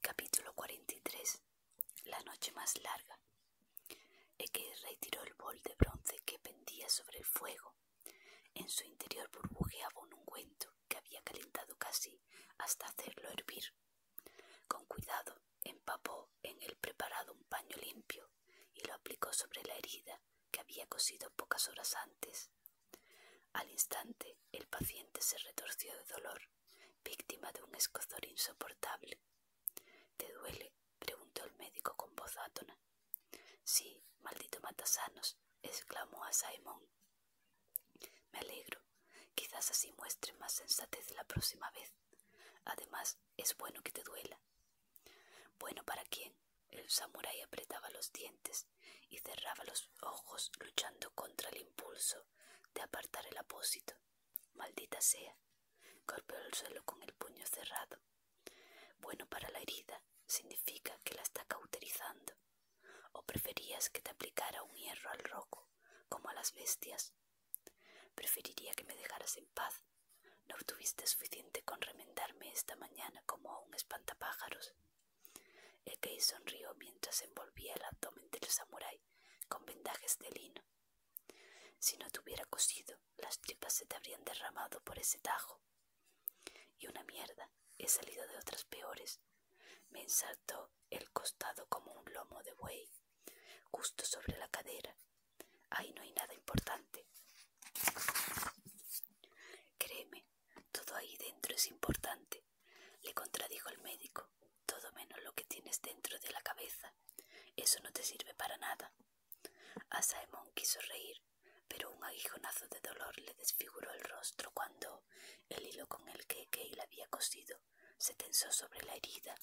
Capítulo 43 La noche más larga. que retiró el bol de bronce que pendía sobre el fuego. En su interior burbujeaba un ungüento que había calentado casi hasta hacerlo hervir. Con cuidado empapó en el preparado un paño limpio y lo aplicó sobre la herida que había cosido pocas horas antes. Al instante el paciente se retorció de dolor víctima de un escozor insoportable. ¿Te duele? preguntó el médico con voz átona. Sí, maldito matasanos, exclamó a Simon. Me alegro. Quizás así muestre más sensatez la próxima vez. Además, es bueno que te duela. ¿Bueno para quién? El samurái apretaba los dientes y cerraba los ojos luchando contra el impulso de apartar el apósito. Maldita sea. Golpeó el suelo con el puño cerrado. Bueno para la herida significa que la está cauterizando. ¿O preferías que te aplicara un hierro al roco, como a las bestias? Preferiría que me dejaras en paz. No obtuviste suficiente con remendarme esta mañana como a un espantapájaros que sonrió mientras envolvía el abdomen del samurái con vendajes de lino. Si no te hubiera cosido, las tripas se te habrían derramado por ese tajo. Y una mierda, he salido de otras peores. Me ensartó el costado como un lomo de buey, justo sobre la cadera. Ahí no hay nada importante. Créeme, todo ahí dentro es importante le contradijo el médico, todo menos lo que tienes dentro de la cabeza. Eso no te sirve para nada. A Saemon quiso reír, pero un aguijonazo de dolor le desfiguró el rostro cuando el hilo con el que la había cosido se tensó sobre la herida.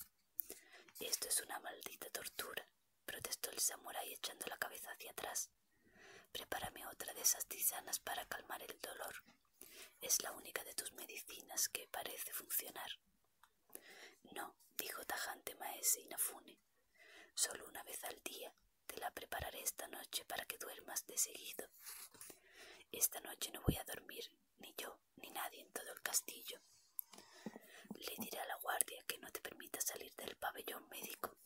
Esto es una maldita tortura, protestó el samurái echando la cabeza hacia atrás. Prepárame otra de esas tisanas para calmar el dolor. Es la única de tus medicinas que parece funcionar. No, dijo tajante Maese Inafune. Solo una vez al día te la prepararé esta noche para que duermas de seguido. Esta noche no voy a dormir, ni yo, ni nadie en todo el castillo. Le diré a la guardia que no te permita salir del pabellón médico.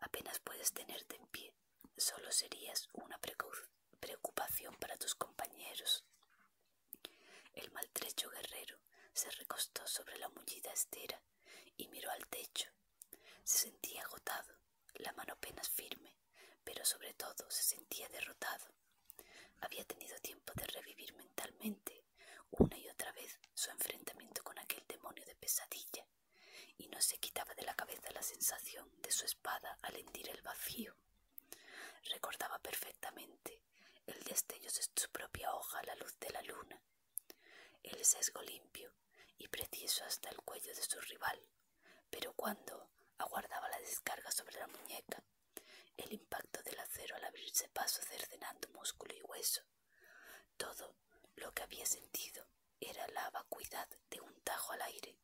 Apenas puedes tenerte en pie. Solo serías una precoz preocupación para tus compañeros. El maltrecho guerrero se recostó sobre la mullida estera y miró al techo. Se sentía agotado, la mano apenas firme, pero sobre todo se sentía derrotado. Había tenido tiempo de revivir mentalmente una y otra vez su enfrentamiento con aquel demonio de pesadilla, y no se quitaba de la cabeza la sensación de su espada al hendir el vacío. Recordaba perfectamente el destello de su propia hoja a la luz de la luna, el sesgo limpio y preciso hasta el cuello de su rival, pero cuando aguardaba la descarga sobre la muñeca, el impacto del acero al abrirse paso cercenando músculo y hueso, todo lo que había sentido era la vacuidad de un tajo al aire.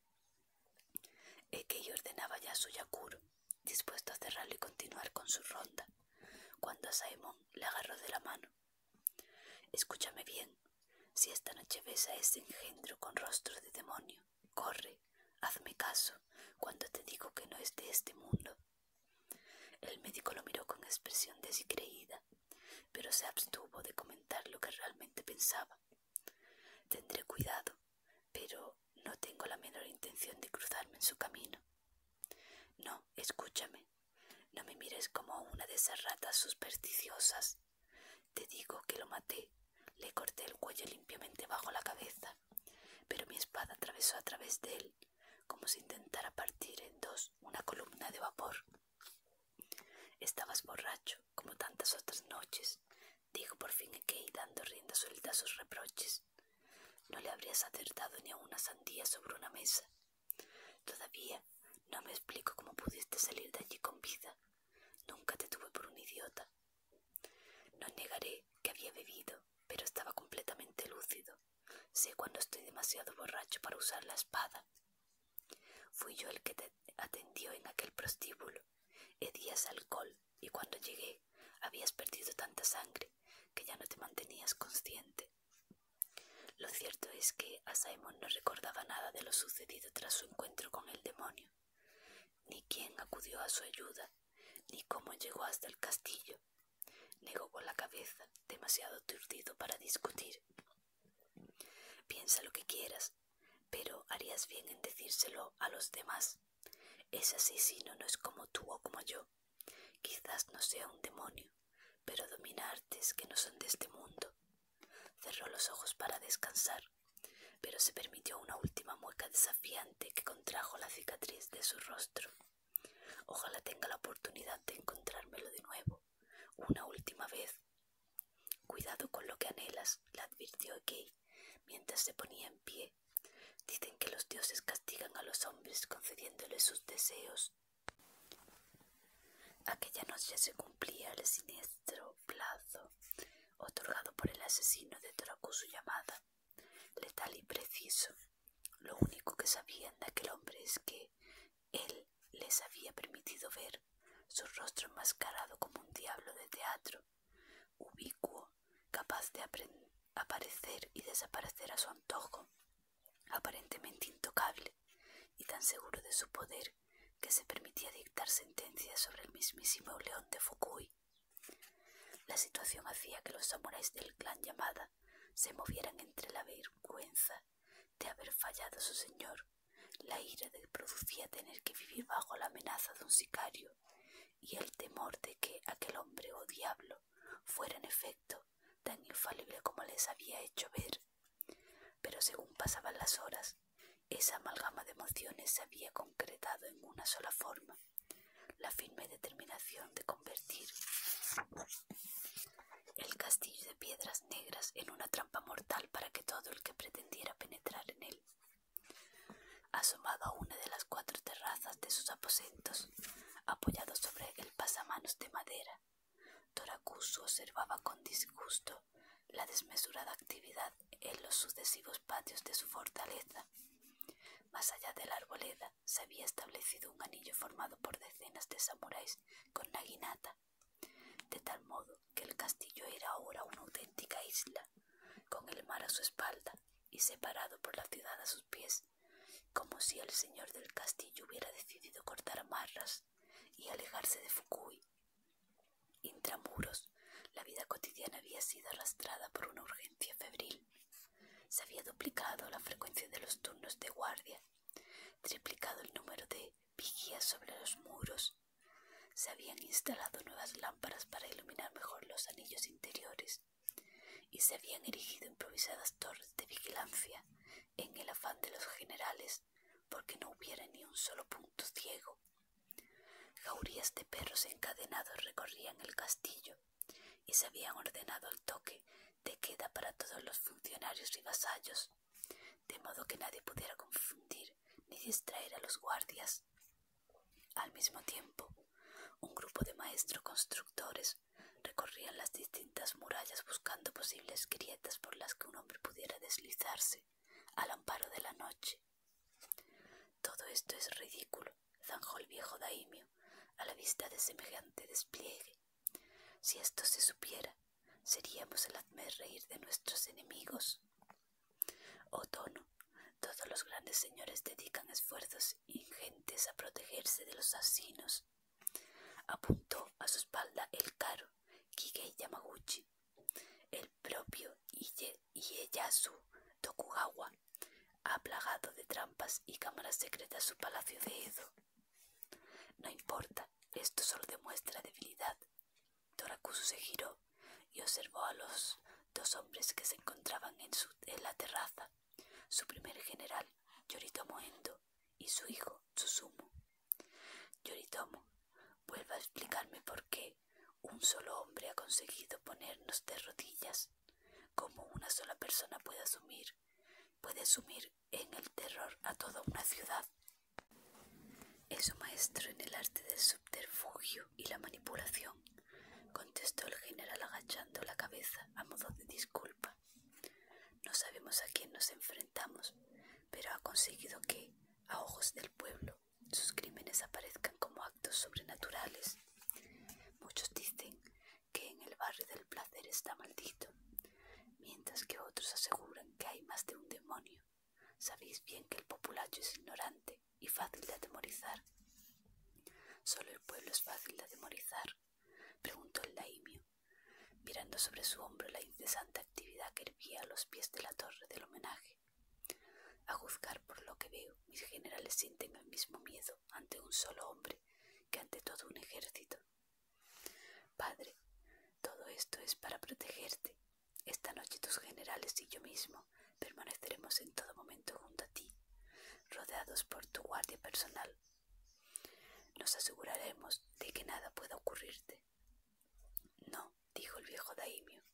Ekei ordenaba ya su yakuro, dispuesto a cerrarlo y continuar con su ronda, cuando a Simon le agarró de la mano. Escúchame bien, si esta noche ves a ese engendro con rostro de demonio, corre, hazme caso, cuando te digo que no es de este mundo. El médico lo miró con expresión descreída, pero se abstuvo de comentar lo que realmente pensaba. Tendré cuidado, pero no tengo la menor intención de cruzarme en su camino. No, escúchame. No me mires como una de esas ratas supersticiosas. Te digo que lo maté. Le corté el cuello limpiamente bajo la cabeza, pero mi espada atravesó a través de él, como si intentara partir en dos una columna de vapor. Estabas borracho, como tantas otras noches, dijo por fin Key dando rienda suelta a sus reproches. No le habrías acertado ni a una sandía sobre una mesa. Todavía no me explico cómo pudiste salir de allí con vida. Nunca te tuve por un idiota. No negaré que había bebido, pero estaba completamente lúcido. Sé cuando estoy demasiado borracho para usar la espada. Fui yo el que te atendió en aquel prostíbulo. Hedías alcohol y cuando llegué habías perdido tanta sangre que ya no te mantenías consciente. Lo cierto es que a Simon no recordaba nada de lo sucedido tras su encuentro con el demonio, ni quién acudió a su ayuda, ni cómo llegó hasta el castillo. Negó con la cabeza, demasiado aturdido para discutir. Piensa lo que quieras, pero harías bien en decírselo a los demás. Ese asesino no es como tú o como yo. Quizás no sea un demonio, pero domina artes que no son de este mundo. Cerró los ojos para descansar, pero se permitió una última mueca desafiante que contrajo la cicatriz de su rostro. Ojalá tenga la oportunidad de encontrármelo de nuevo, una última vez, Cuidado con lo que anhelas, le advirtió Gay mientras se ponía en pie. Dicen que los dioses castigan a los hombres concediéndoles sus deseos. Aquella noche se cumplía el siniestro plazo otorgado por el asesino de su llamada, letal y preciso. Lo único que sabían de aquel hombre es que él les había permitido ver su rostro enmascarado como un diablo de teatro, ubicuo, capaz de aparecer y desaparecer a su antojo, aparentemente intocable y tan seguro de su poder que se permitía dictar sentencias sobre el mismísimo león de Fukui. La situación hacía que los samuráis del clan llamada se movieran entre la vergüenza de haber fallado a su señor la ira que producía tener que vivir bajo la amenaza de un sicario y el temor de que aquel hombre o oh diablo fuera en efecto tan infalible como les había hecho ver. Pero según pasaban las horas, esa amalgama de emociones se había concretado en una sola forma, la firme determinación de convertir el castillo de piedras negras en una trampa mortal para que todo el que pretendiera penetrar en él. Asomado a una de las cuatro terrazas de sus aposentos, apoyado sobre el pasamanos de madera, Torakusu observaba con disgusto la desmesurada actividad en los sucesivos patios de su fortaleza. Más allá de la arboleda se había establecido un anillo formado por decenas de samuráis con naginata, de tal modo que el castillo era ahora una auténtica isla, con el mar a su espalda y separado por la ciudad a sus pies, como si el señor del castillo hubiera decidido cortar amarras y alejarse de Fukui. Intramuros, la vida cotidiana había sido arrastrada por una urgencia febril. Se había duplicado la frecuencia de los turnos de guardia, triplicado el número de vigías sobre los muros se habían instalado nuevas lámparas para iluminar mejor los anillos interiores y se habían erigido improvisadas torres de vigilancia en el afán de los generales porque no hubiera ni un solo punto ciego. Jaurías de perros encadenados recorrían el castillo y se habían ordenado el toque de queda para todos los funcionarios y vasallos de modo que nadie pudiera confundir ni distraer a los guardias. Al mismo tiempo, un grupo de maestros constructores recorrían las distintas murallas buscando posibles grietas por las que un hombre pudiera deslizarse al amparo de la noche. Todo esto es ridículo, zanjó el viejo daimio a la vista de semejante despliegue. Si esto se supiera, seríamos el reír de nuestros enemigos. Otono, todos los grandes señores dedican esfuerzos ingentes a protegerse de los asinos. Apuntó a su espalda el caro Kigei Yamaguchi, el propio Ieyasu Tokugawa, ha plagado de trampas y cámaras secretas su palacio de Edo. No importa, esto solo demuestra debilidad Torakusu se giró y observó a los dos hombres que se encontraban en, la terraza, su primer general, Yoritomo Endo, y su hijo, susumo Yoritomo, vuelva a explicarme por qué un solo hombre ha conseguido ponernos de rodillas, cómo una sola persona puede asumir, puede asumir en el terror a toda una ciudad. Es un maestro en el arte del subterfugio y la manipulación, contestó el general agachando la cabeza a modo de disculpa. No sabemos a quién nos enfrentamos, pero ha conseguido que, a ojos del pueblo, sus crímenes aparezcan como actos sobrenaturales. Muchos dicen que en el barrio del placer está maldito, mientras que otros aseguran que hay más de un demonio Sabéis bien que el populacho es ignorante y fácil de atemorizar. Solo el pueblo es fácil de atemorizar, preguntó el daimio mirando sobre su hombro la incesante actividad que hervía a los pies de la torre del homenaje. A juzgar por lo que veo, mis generales sienten el mismo miedo ante un solo hombre que ante todo un ejército. Padre, todo esto es para protegerte, esta noche tus generales y yo mismo permaneceremos en todo momento junto a ti, rodeados por tu guardia personal. Nos aseguraremos de que nada pueda ocurrirte. No, dijo el viejo Daimio,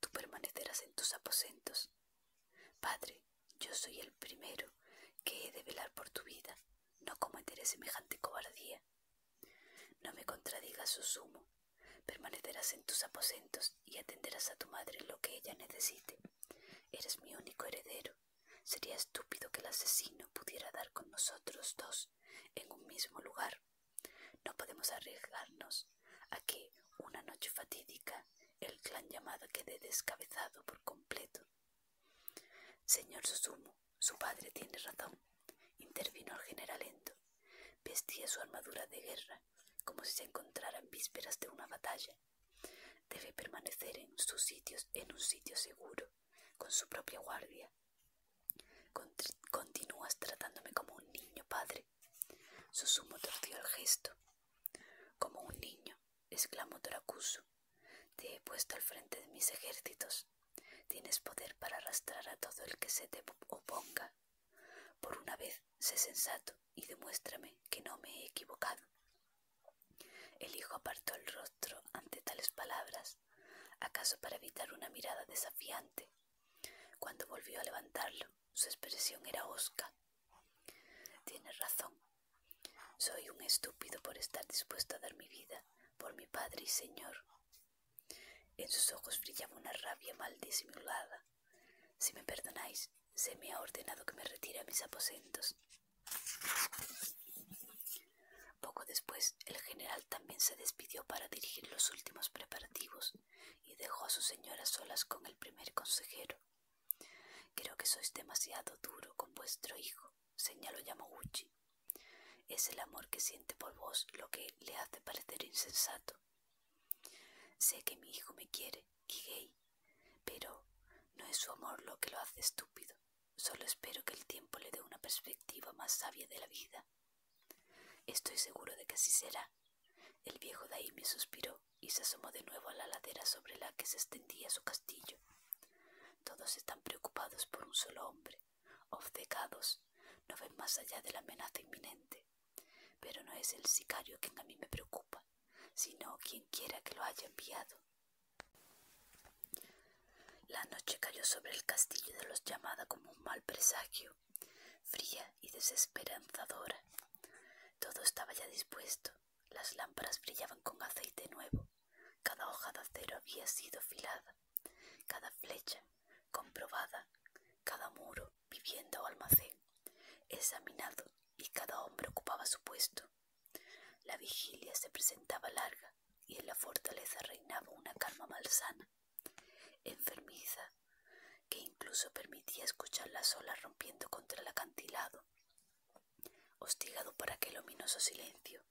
tú permanecerás en tus aposentos. Padre, yo soy el primero que he de velar por tu vida. No cometeré semejante cobardía. No me contradigas, Susumo. Permanecerás en tus aposentos y atenderás a tu madre lo que ella necesite. Eres mi único heredero. Sería estúpido que el asesino pudiera dar con nosotros dos en un mismo lugar. No podemos arriesgarnos a que, una noche fatídica, el clan llamado quede descabezado por completo. Señor Susumo, su padre tiene razón intervino el general Lento Vestía su armadura de guerra como si se encontrara en vísperas de una batalla. Debe permanecer en sus sitios, en un sitio seguro, con su propia guardia. continúas tratándome como un niño, padre. Susumo torció el gesto. Como un niño, exclamó Torakusu. Te he puesto al frente de mis ejércitos. Tienes poder para arrastrar a todo el que se te oponga. Por una vez, sé sensato y demuéstrame que no me he equivocado. El hijo apartó el rostro ante tales palabras, acaso para evitar una mirada desafiante. Cuando volvió a levantarlo, su expresión era hosca. Tienes razón. Soy un estúpido por estar dispuesto a dar mi vida por mi padre y señor. En sus ojos brillaba una rabia mal disimulada. Si me perdonáis, se me ha ordenado que me retire a mis aposentos. Poco después, el general también se despidió para dirigir los últimos preparativos y dejó a su señora solas con el primer consejero. Creo que sois demasiado duro con vuestro hijo, señaló Yamaguchi. Es el amor que siente por vos lo que le hace parecer insensato. Sé que mi hijo me quiere, y gay pero no es su amor lo que lo hace estúpido. Solo espero que el tiempo le dé una perspectiva más sabia de la vida. Estoy seguro de que así será. El viejo me suspiró y se asomó de nuevo a la ladera sobre la que se extendía su castillo. Todos están preocupados por un solo hombre obcecados, no ven más allá de la amenaza inminente. Pero no es el sicario quien a mí me preocupa, sino quien quiera que lo haya enviado. La noche cayó sobre el castillo de los llamada como un mal presagio, fría y desesperanzadora. Todo estaba ya dispuesto, las lámparas brillaban con aceite nuevo, cada hoja de acero había sido filada, cada flecha, comprobada, cada muro, vivienda o almacén, examinado y cada hombre ocupaba su puesto. La vigilia se presentaba larga y en la fortaleza reinaba una calma malsana, enfermiza, que incluso permitía escuchar las olas rompiendo contra el acantilado. Hostigado por aquel ominoso silencio,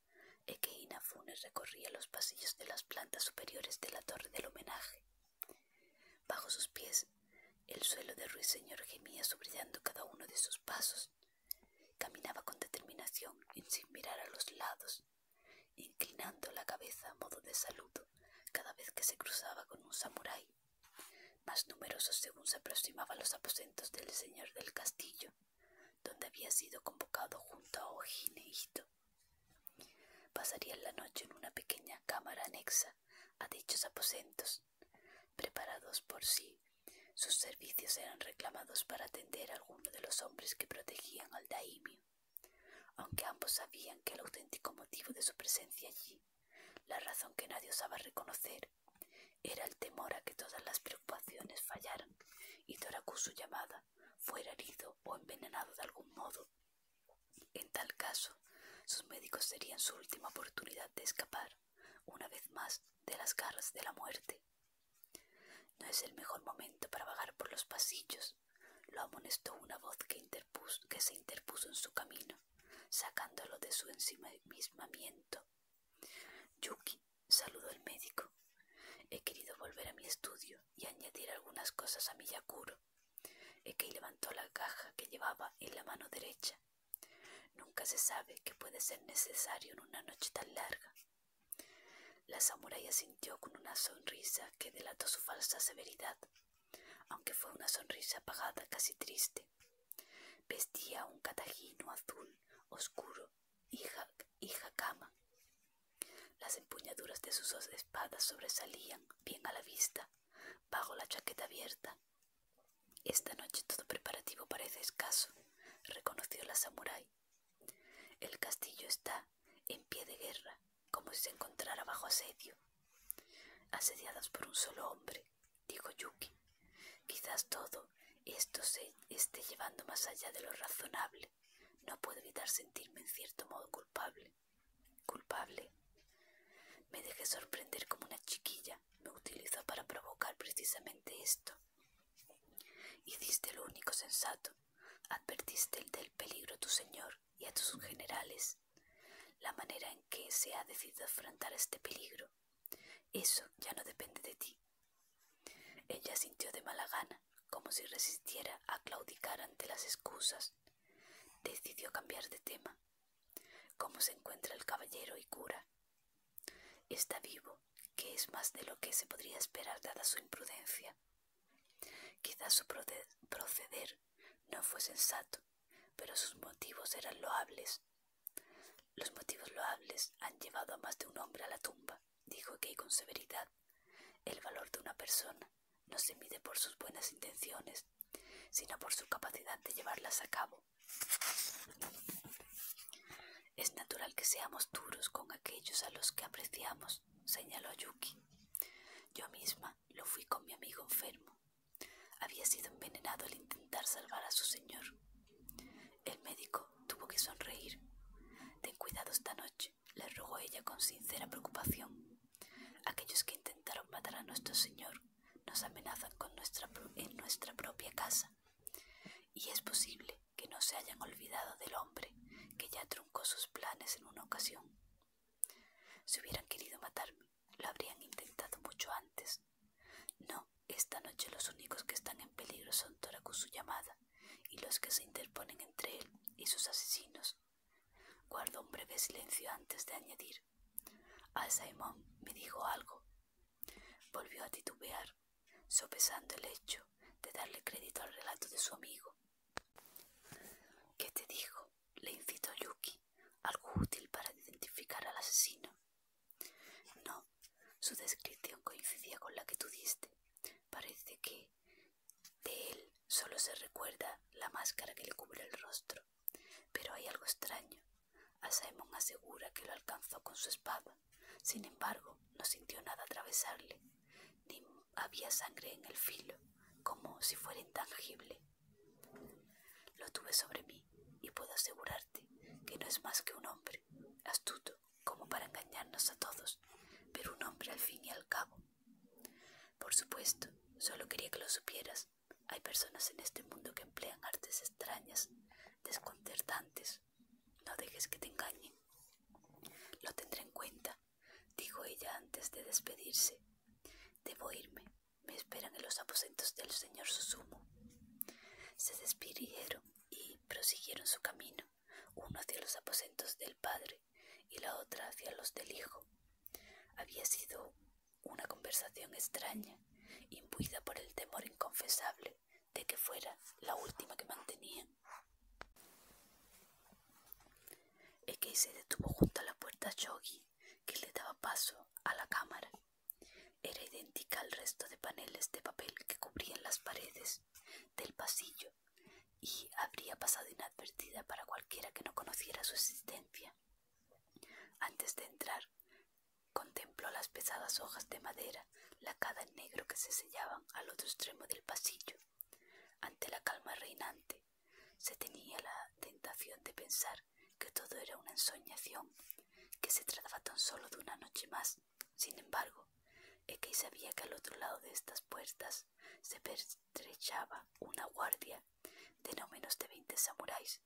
e Funes recorría los pasillos de las plantas superiores de la torre del homenaje. Bajo sus pies, el suelo de Ruiseñor gemía subrayando cada uno de sus pasos. Caminaba con determinación y sin mirar a los lados, inclinando la cabeza a modo de saludo cada vez que se cruzaba con un samurái, más numerosos según se aproximaba a los aposentos del señor del castillo, donde había sido convocado junto a Ojineito. Pasarían la noche en una pequeña cámara anexa a dichos aposentos. Preparados por sí, sus servicios eran reclamados para atender a alguno de los hombres que protegían al daimio, aunque ambos sabían que el auténtico motivo de su presencia allí, la razón que nadie osaba reconocer, era el temor a que todas las preocupaciones fallaran y Toraku su llamada fuera herido o envenenado de algún modo. En tal caso, sus médicos serían su última oportunidad de escapar, una vez más, de las garras de la muerte. No es el mejor momento para vagar por los pasillos, lo amonestó una voz que, que se interpuso en su camino, sacándolo de su ensimismamiento. Yuki saludó al médico. He querido volver a mi estudio y añadir algunas cosas a Miyakuro. que levantó la caja que llevaba en la mano derecha. Nunca se sabe qué puede ser necesario en una noche tan larga. La samuraya sintió con una sonrisa que delató su falsa severidad, aunque fue una sonrisa apagada, casi triste. Vestía un catajino azul oscuro y, hija las empuñaduras de sus dos espadas sobresalían bien a la vista, bajo la chaqueta abierta. Esta noche todo preparativo parece escaso, reconoció la samurái. El castillo está en pie de guerra, como si se encontrara bajo asedio. Asediadas por un solo hombre, dijo Yuki. Quizás todo esto se esté llevando más allá de lo razonable no puedo evitar sentirme en cierto modo culpable. ¿Culpable? Me dejé sorprender como una chiquilla. Me utilizó para provocar precisamente esto. Hiciste lo único sensato. Advertiste el del peligro a tu señor y a tus generales. La manera en que se ha decidido afrontar este peligro. Eso ya no depende de ti. Ella sintió de mala gana como si resistiera a claudicar ante las excusas. Decidió cambiar de tema. ¿Cómo se encuentra el caballero y cura? Está vivo, que es más de lo que se podría esperar dada su imprudencia. Quizás su proceder no fue sensato, pero sus motivos eran loables. Los motivos loables han llevado a más de un hombre a la tumba dijo que con severidad. El valor de una persona no se mide por sus buenas intenciones, sino por su capacidad de llevarlas a cabo. Es natural que seamos duros con aquellos a los que apreciamos, señaló Yuki. Yo misma lo fui con mi amigo enfermo. Había sido envenenado al intentar salvar a su señor. El médico tuvo que sonreír. Ten cuidado esta noche le rogó ella con sincera preocupación. Aquellos que intentaron matar a nuestro señor nos amenazan con nuestra en nuestra propia casa. Y es posible que no se hayan olvidado del hombre que ya truncó sus planes en una ocasión. Si hubieran querido matarme, lo habrían intentado mucho antes. No, esta noche los únicos que están en peligro son Toracu su llamada y los que se interponen entre él y sus asesinos. Guardó un breve silencio antes de añadir. A Simon me dijo algo. Volvió a titubear, sopesando el hecho de darle crédito al relato de su amigo. ¿Qué te dijo? le incitó Yuki. ¿Algo útil para identificar al asesino? No, su descripción coincidía con la que tú diste. Parece que de él solo se recuerda la máscara que le cubre el rostro, pero hay algo extraño. A Simon asegura que lo alcanzó con su espada, sin embargo, no sintió nada atravesarle, ni había sangre en el filo, como si fuera intangible. Lo tuve sobre mí y puedo asegurarte que no es más que un hombre, astuto como para engañarnos a todos, pero un hombre al fin y al cabo, por supuesto, solo quería que lo supieras. Hay personas en este mundo que emplean artes extrañas, desconcertantes. No dejes que te engañen. Lo tendré en cuenta, dijo ella antes de despedirse. Debo irme. Me esperan en los aposentos del señor Susumo. Se despidieron y prosiguieron su camino, uno hacia los aposentos del padre, y la otra hacia los del hijo. Había sido una conversación extraña, imbuida por el temor inconfesable de que fuera la última que mantenían. que se detuvo junto a la puerta Shogi, que le daba paso a la cámara. Era idéntica al resto de paneles de papel que cubrían las paredes del pasillo y habría pasado inadvertida para cualquiera que no conociera su existencia. Antes de entrar, contempló las pesadas hojas de madera, lacada en negro que se sellaban al otro extremo del pasillo. Ante la calma reinante, se tenía la tentación de pensar que todo era una ensoñación, que se trataba tan solo de una noche más. Sin embargo, Ekei sabía que al otro lado de estas puertas se, estrechaba una guardia de no menos de veinte samuráis,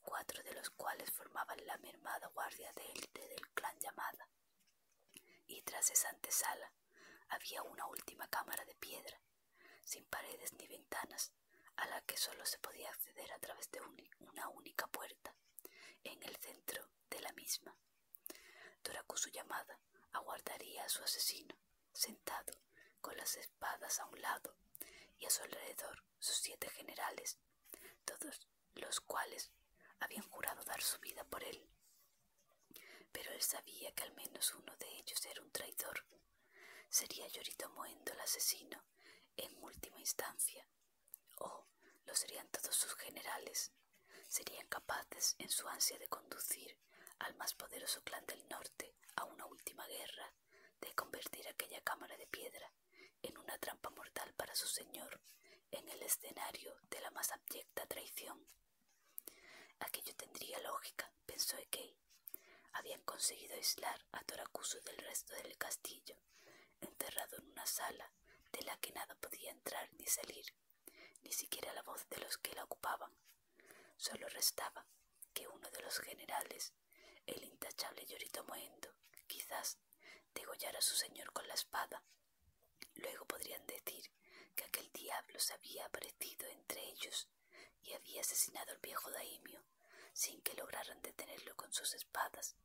cuatro de los cuales formaban la mermada guardia de élite del clan llamada. Y tras esa antesala había una última cámara de piedra, sin paredes ni ventanas, a la que solo se podía acceder a través de una única puerta. En el centro de la misma Doraku su llamada aguardaría a su asesino, sentado, con las espadas a un lado, y a su alrededor sus siete generales, todos los cuales habían jurado dar su vida por él. Pero él sabía que al menos uno de ellos era un traidor. Sería Yoritomoendo el asesino, en última instancia. O lo serían todos sus generales. Serían capaces, en su ansia de conducir al más poderoso clan del norte a una última guerra de convertir aquella cámara de piedra en una trampa mortal para su señor, en el escenario de la más abyecta traición. Aquello tendría lógica, pensó Ekei. Habían conseguido aislar a Torakusu del resto del castillo, Enterrado en una sala de la que nada podía entrar ni salir, ni siquiera la voz de los que la ocupaban. Solo restaba que uno de los generales, el intachable Llorito Moendo, quizás degollara a su señor con la espada. Luego podrían decir que aquel diablo se había aparecido entre ellos y había asesinado al viejo daimio sin que lograran detenerlo con sus espadas,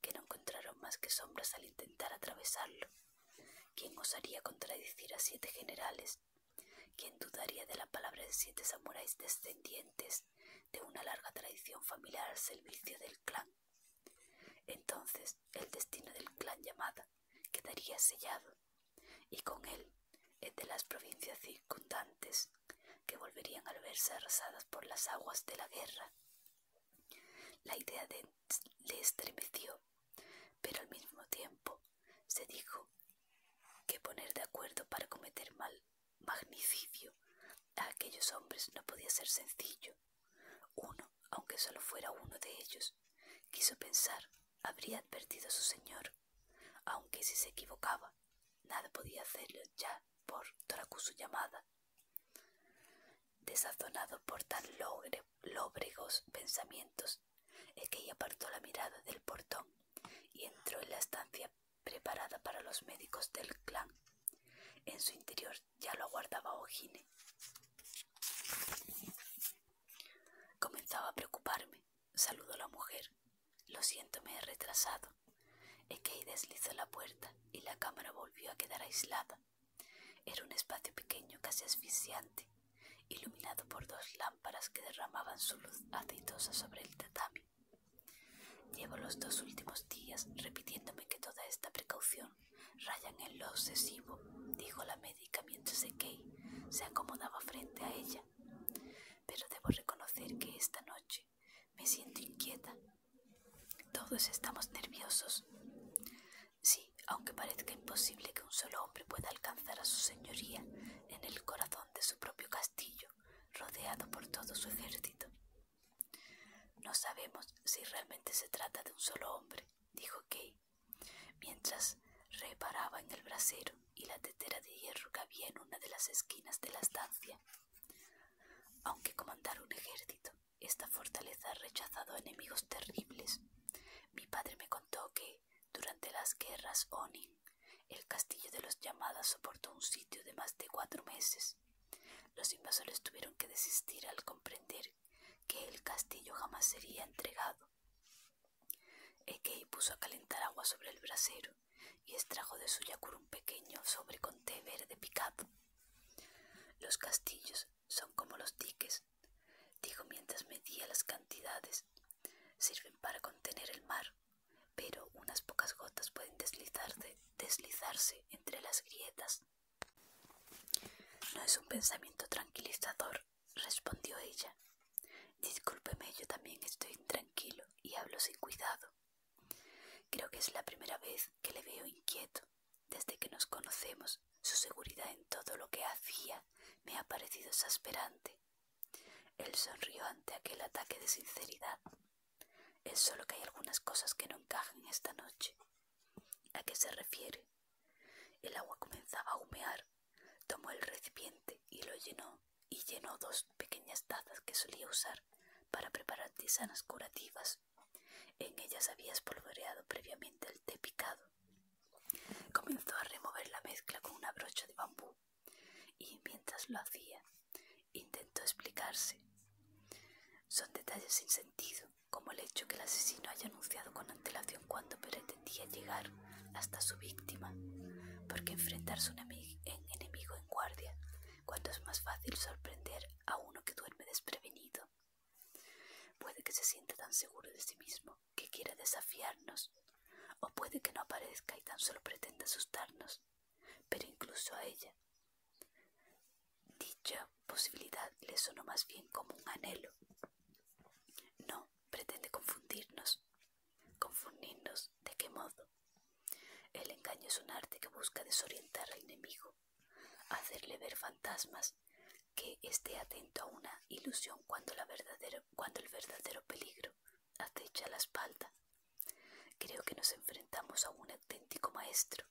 que no encontraron más que sombras al intentar atravesarlo. ¿Quién osaría contradecir a siete generales? ¿Quién dudaría de la palabra de siete samuráis descendientes de una larga tradición familiar al servicio del clan? Entonces el destino del clan Llamada quedaría sellado, y con él el de las provincias circundantes, que volverían al verse arrasadas por las aguas de la guerra. La idea le estremeció, pero al mismo tiempo se dijo que poner de acuerdo para cometer mal magnicidio a aquellos hombres no podía ser sencillo. Uno, aunque solo fuera uno de ellos, quiso pensar, habría advertido a su señor, aunque si se equivocaba, nada podía hacerlo ya por su llamada. Desazonado por tan logre lóbregos pensamientos. Ekei apartó la mirada del portón y entró en la estancia preparada para los médicos del clan. En su interior ya lo aguardaba Ojine. Comenzaba a preocuparme. Saludó la mujer. Lo siento, me he retrasado. Ekei deslizó la puerta y la cámara volvió a quedar aislada. Era un espacio pequeño, casi asfixiante, iluminado por dos lámparas que derramaban su luz aceitosa sobre el tatami. Llevo los dos últimos días repitiéndome que toda esta precaución rayan en lo obsesivo, dijo la médica mientras se acomodaba frente a ella. Pero debo reconocer que esta noche me siento inquieta. Todos estamos nerviosos. Sí, aunque parezca imposible que un solo hombre pueda alcanzar a su señoría en el corazón de su propio castillo, rodeado por todo su ejército. No sabemos si realmente se trata de un solo hombre, dijo Kay, mientras reparaba en el brasero y la tetera de hierro que había en una de las esquinas de la estancia. Aunque comandara un ejército, esta fortaleza ha rechazado enemigos terribles. Mi padre me contó que durante las guerras Oni, el castillo de los llamadas soportó un sitio de más de cuatro meses. Los invasores tuvieron que desistir al comprender que el castillo jamás sería entregado. Ekei puso a calentar agua sobre el brasero y extrajo de su yakur un pequeño sobre con té verde picado. Los castillos son como los diques, dijo mientras medía las cantidades. Sirven para contener el mar, pero unas pocas gotas pueden deslizarse, entre las grietas. No es un pensamiento tranquilizador, respondió ella. Discúlpeme, yo también estoy intranquilo y hablo sin cuidado. Creo que es la primera vez que le veo inquieto desde que nos conocemos su seguridad en todo lo que hacía me ha parecido exasperante. Él sonrió ante aquel ataque de sinceridad. Es solo que hay algunas cosas que no encajan esta noche. ¿A qué se refiere? El agua comenzaba a humear. Tomó el recipiente y lo llenó y llenó dos pequeñas tazas que solía usar para preparar tisanas curativas. En ellas había espolvoreado previamente el té picado Comenzó a remover la mezcla con una brocha de bambú y mientras lo hacía intentó explicarse. Son detalles sin sentido, como el hecho que el asesino haya anunciado con antelación cuándo pretendía llegar hasta su víctima, porque enfrentarse a un enemigo en guardia, cuando es más fácil sorprender a uno que duerme desprevenido. Puede que se sienta tan seguro de sí mismo que quiera desafiarnos, o puede que no aparezca y tan solo pretenda asustarnos, pero incluso a ella. Dicha posibilidad le sonó más bien como un anhelo. No, pretende confundirnos. ¿Confundirnos de qué modo? El engaño es un arte que busca desorientar al enemigo, hacerle ver fantasmas, que esté atento a una ilusión cuando, el verdadero peligro acecha a la espalda. Creo que nos enfrentamos a un auténtico maestro,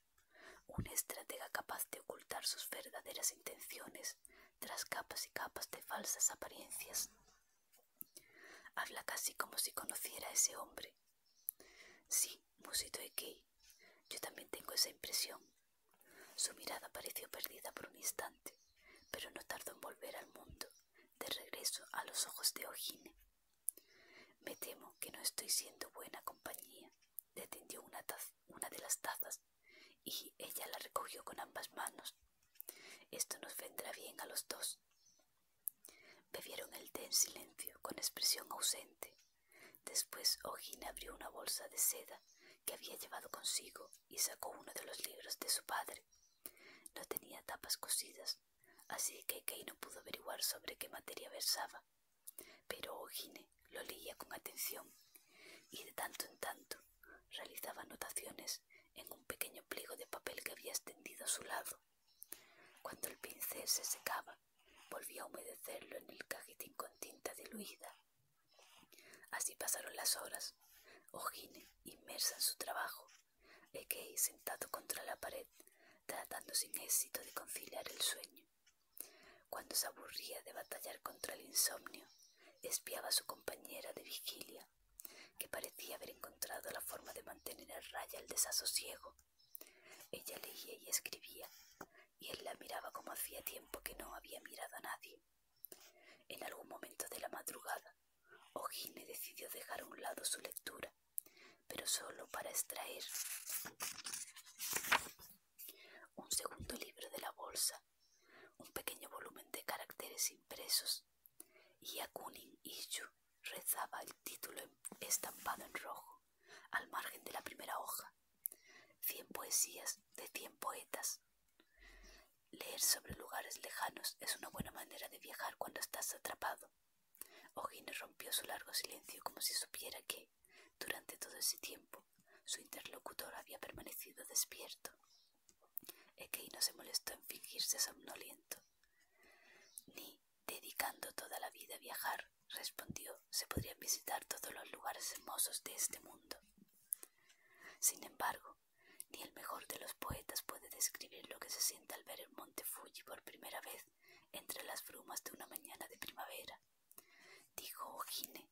un estratega capaz de ocultar sus verdaderas intenciones tras capas y capas de falsas apariencias. Habla casi como si conociera a ese hombre. Sí, musito Key yo también tengo esa impresión, su mirada pareció perdida por un instante, pero no tardó en volver al mundo, de regreso a los ojos de Ogine Me temo que no estoy siendo buena compañía. Detendió una, una de las tazas y ella la recogió con ambas manos. Esto nos vendrá bien a los dos. Bebieron el té en silencio, con expresión ausente. Después Ogine abrió una bolsa de seda que había llevado consigo y sacó uno de los libros de su padre. No tenía tapas cosidas, así que Kay no pudo averiguar sobre qué materia versaba. Pero Ogine lo leía con atención y de tanto en tanto realizaba anotaciones en un pequeño pliego de papel que había extendido a su lado. Cuando el pincel se secaba, volvía a humedecerlo en el cajetín con tinta diluida Así pasaron las horas. Ogine inmersa en su trabajo. Ekei, sentado contra la pared, tratando sin éxito de conciliar el sueño. Cuando se aburría de batallar contra el insomnio, espiaba a su compañera de vigilia, que parecía haber encontrado la forma de mantener a raya el desasosiego. Ella leía y escribía, y él la miraba como hacía tiempo que no había mirado a nadie. En algún momento de la madrugada, Ogine decidió dejar a un lado su lectura, pero solo para extraer un segundo libro de la bolsa, un pequeño volumen de caracteres impresos, y a rezaba el título em-, estampado en rojo, al margen de la primera hoja cien poesías de cien poetas. Leer sobre lugares lejanos es una buena manera de viajar cuando estás atrapado. O'Higgins rompió su largo silencio como si supiera que, durante todo ese tiempo, su interlocutor había permanecido despierto. Ekei no se molestó en fingirse somnoliento. Ni, dedicando toda la vida a viajar, respondió, se podrían visitar todos los lugares hermosos de este mundo. Sin embargo, ni el mejor de los poetas puede describir lo que se siente al ver el monte Fuji por primera vez entre las brumas de una mañana de primavera. Dijo Ojine,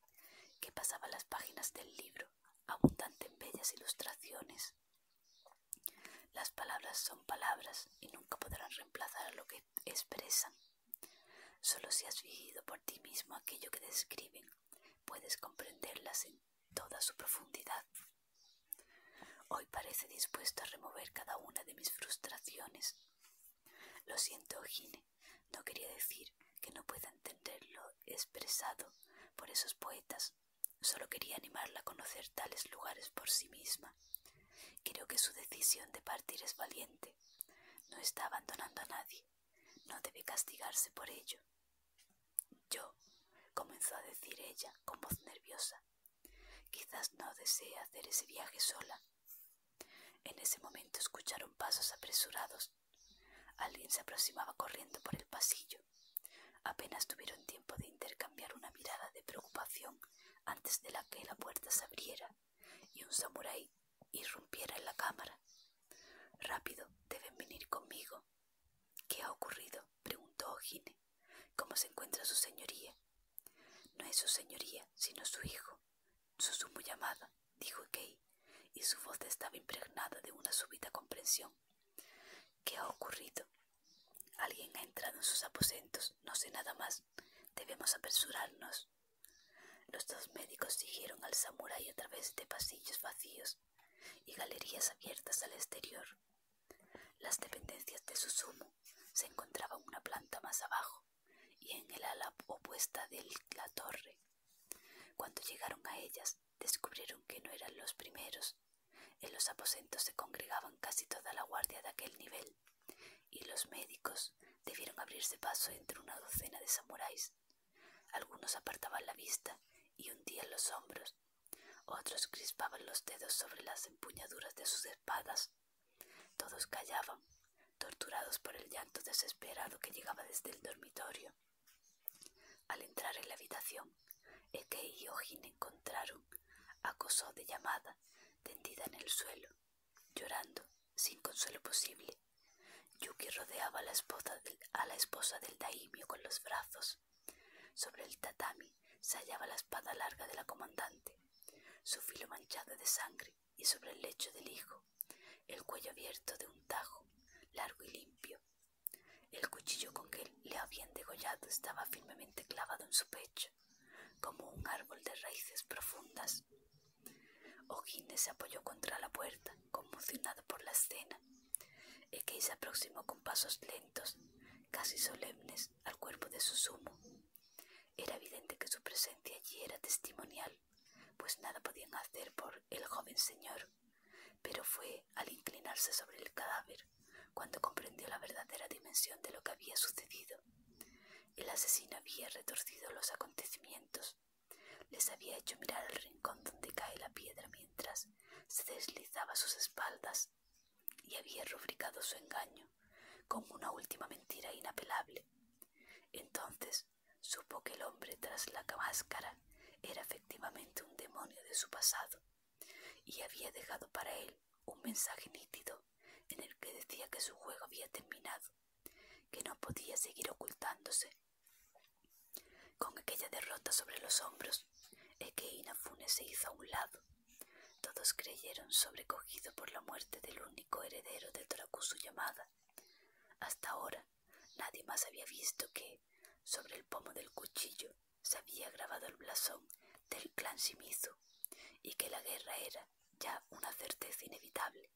que pasaba las páginas del libro, abundante en bellas ilustraciones. Las palabras son palabras y nunca podrán reemplazar a lo que expresan. Solo si has vivido por ti mismo aquello que describen puedes comprenderlas en toda su profundidad. Hoy parece dispuesto a remover cada una de mis frustraciones. Lo siento, Gine, no quería decir que no pueda entenderlo expresado por esos poetas. Solo quería animarla a conocer tales lugares por sí misma. Creo que su decisión de partir es valiente. No está abandonando a nadie. No debe castigarse por ello. Yo, comenzó a decir ella con voz nerviosa, quizás no desee hacer ese viaje sola. En ese momento escucharon pasos apresurados. Alguien se aproximaba corriendo por el pasillo. Apenas tuvieron tiempo de intercambiar una mirada de preocupación antes de la que la puerta se abriera y un samurái irrumpiera en la cámara. Rápido, deben venir conmigo. ¿Qué ha ocurrido? preguntó O'Higgins. ¿Cómo se encuentra su señoría? No es su señoría, sino su hijo. su sumo llamada, dijo Kay, y su voz estaba impregnada de una súbita comprensión. ¿Qué ha ocurrido? Alguien ha entrado en sus aposentos, no sé nada más. Debemos apresurarnos. Los dos médicos siguieron al samurái a través de pasillos vacíos y galerías abiertas al exterior. Las dependencias de su sumo se encontraban una planta más abajo y en el ala opuesta de la torre. Cuando llegaron a ellas, descubrieron que no eran los primeros. En los aposentos se congregaban casi toda la guardia de aquel nivel, y los médicos debieron abrirse paso entre una docena de samuráis algunos apartaban la vista y hundían los hombros, otros crispaban los dedos sobre las empuñaduras de sus espadas. Todos callaban, torturados por el llanto desesperado que llegaba desde el dormitorio. Al entrar en la habitación, Eke y Ojin encontraron a de llamada, tendida en el suelo, llorando sin consuelo posible. Yuki rodeaba a la esposa del, a daimio con los brazos. Sobre el tatami se hallaba la espada larga de la comandante, su filo manchado de sangre, y sobre el lecho del hijo, el cuello abierto de un tajo, largo y limpio. El cuchillo con que le habían degollado estaba firmemente clavado en su pecho, como un árbol de raíces profundas. O'Higgins se apoyó contra la puerta, conmocionado por la escena. Ekei se aproximó con pasos lentos, casi solemnes, al cuerpo de su sumo. Era evidente que su presencia allí era testimonial, pues nada podían hacer por el joven señor. Pero fue al inclinarse sobre el cadáver cuando comprendió la verdadera dimensión de lo que había sucedido. El asesino había retorcido los acontecimientos les había hecho mirar el rincón donde cae la piedra mientras se deslizaba sus espaldas y había rubricado su engaño como una última mentira inapelable. Entonces supo que el hombre tras la máscara era efectivamente un demonio de su pasado y había dejado para él un mensaje nítido en el que decía que su juego había terminado, que no podía seguir ocultándose con aquella derrota sobre los hombros, Funes se hizo a un lado. Todos creyeron sobrecogido por la muerte del único heredero de su llamada. Hasta ahora nadie más había visto que, sobre el pomo del cuchillo, se había grabado el blasón del clan Shimizu y que la guerra era ya una certeza inevitable.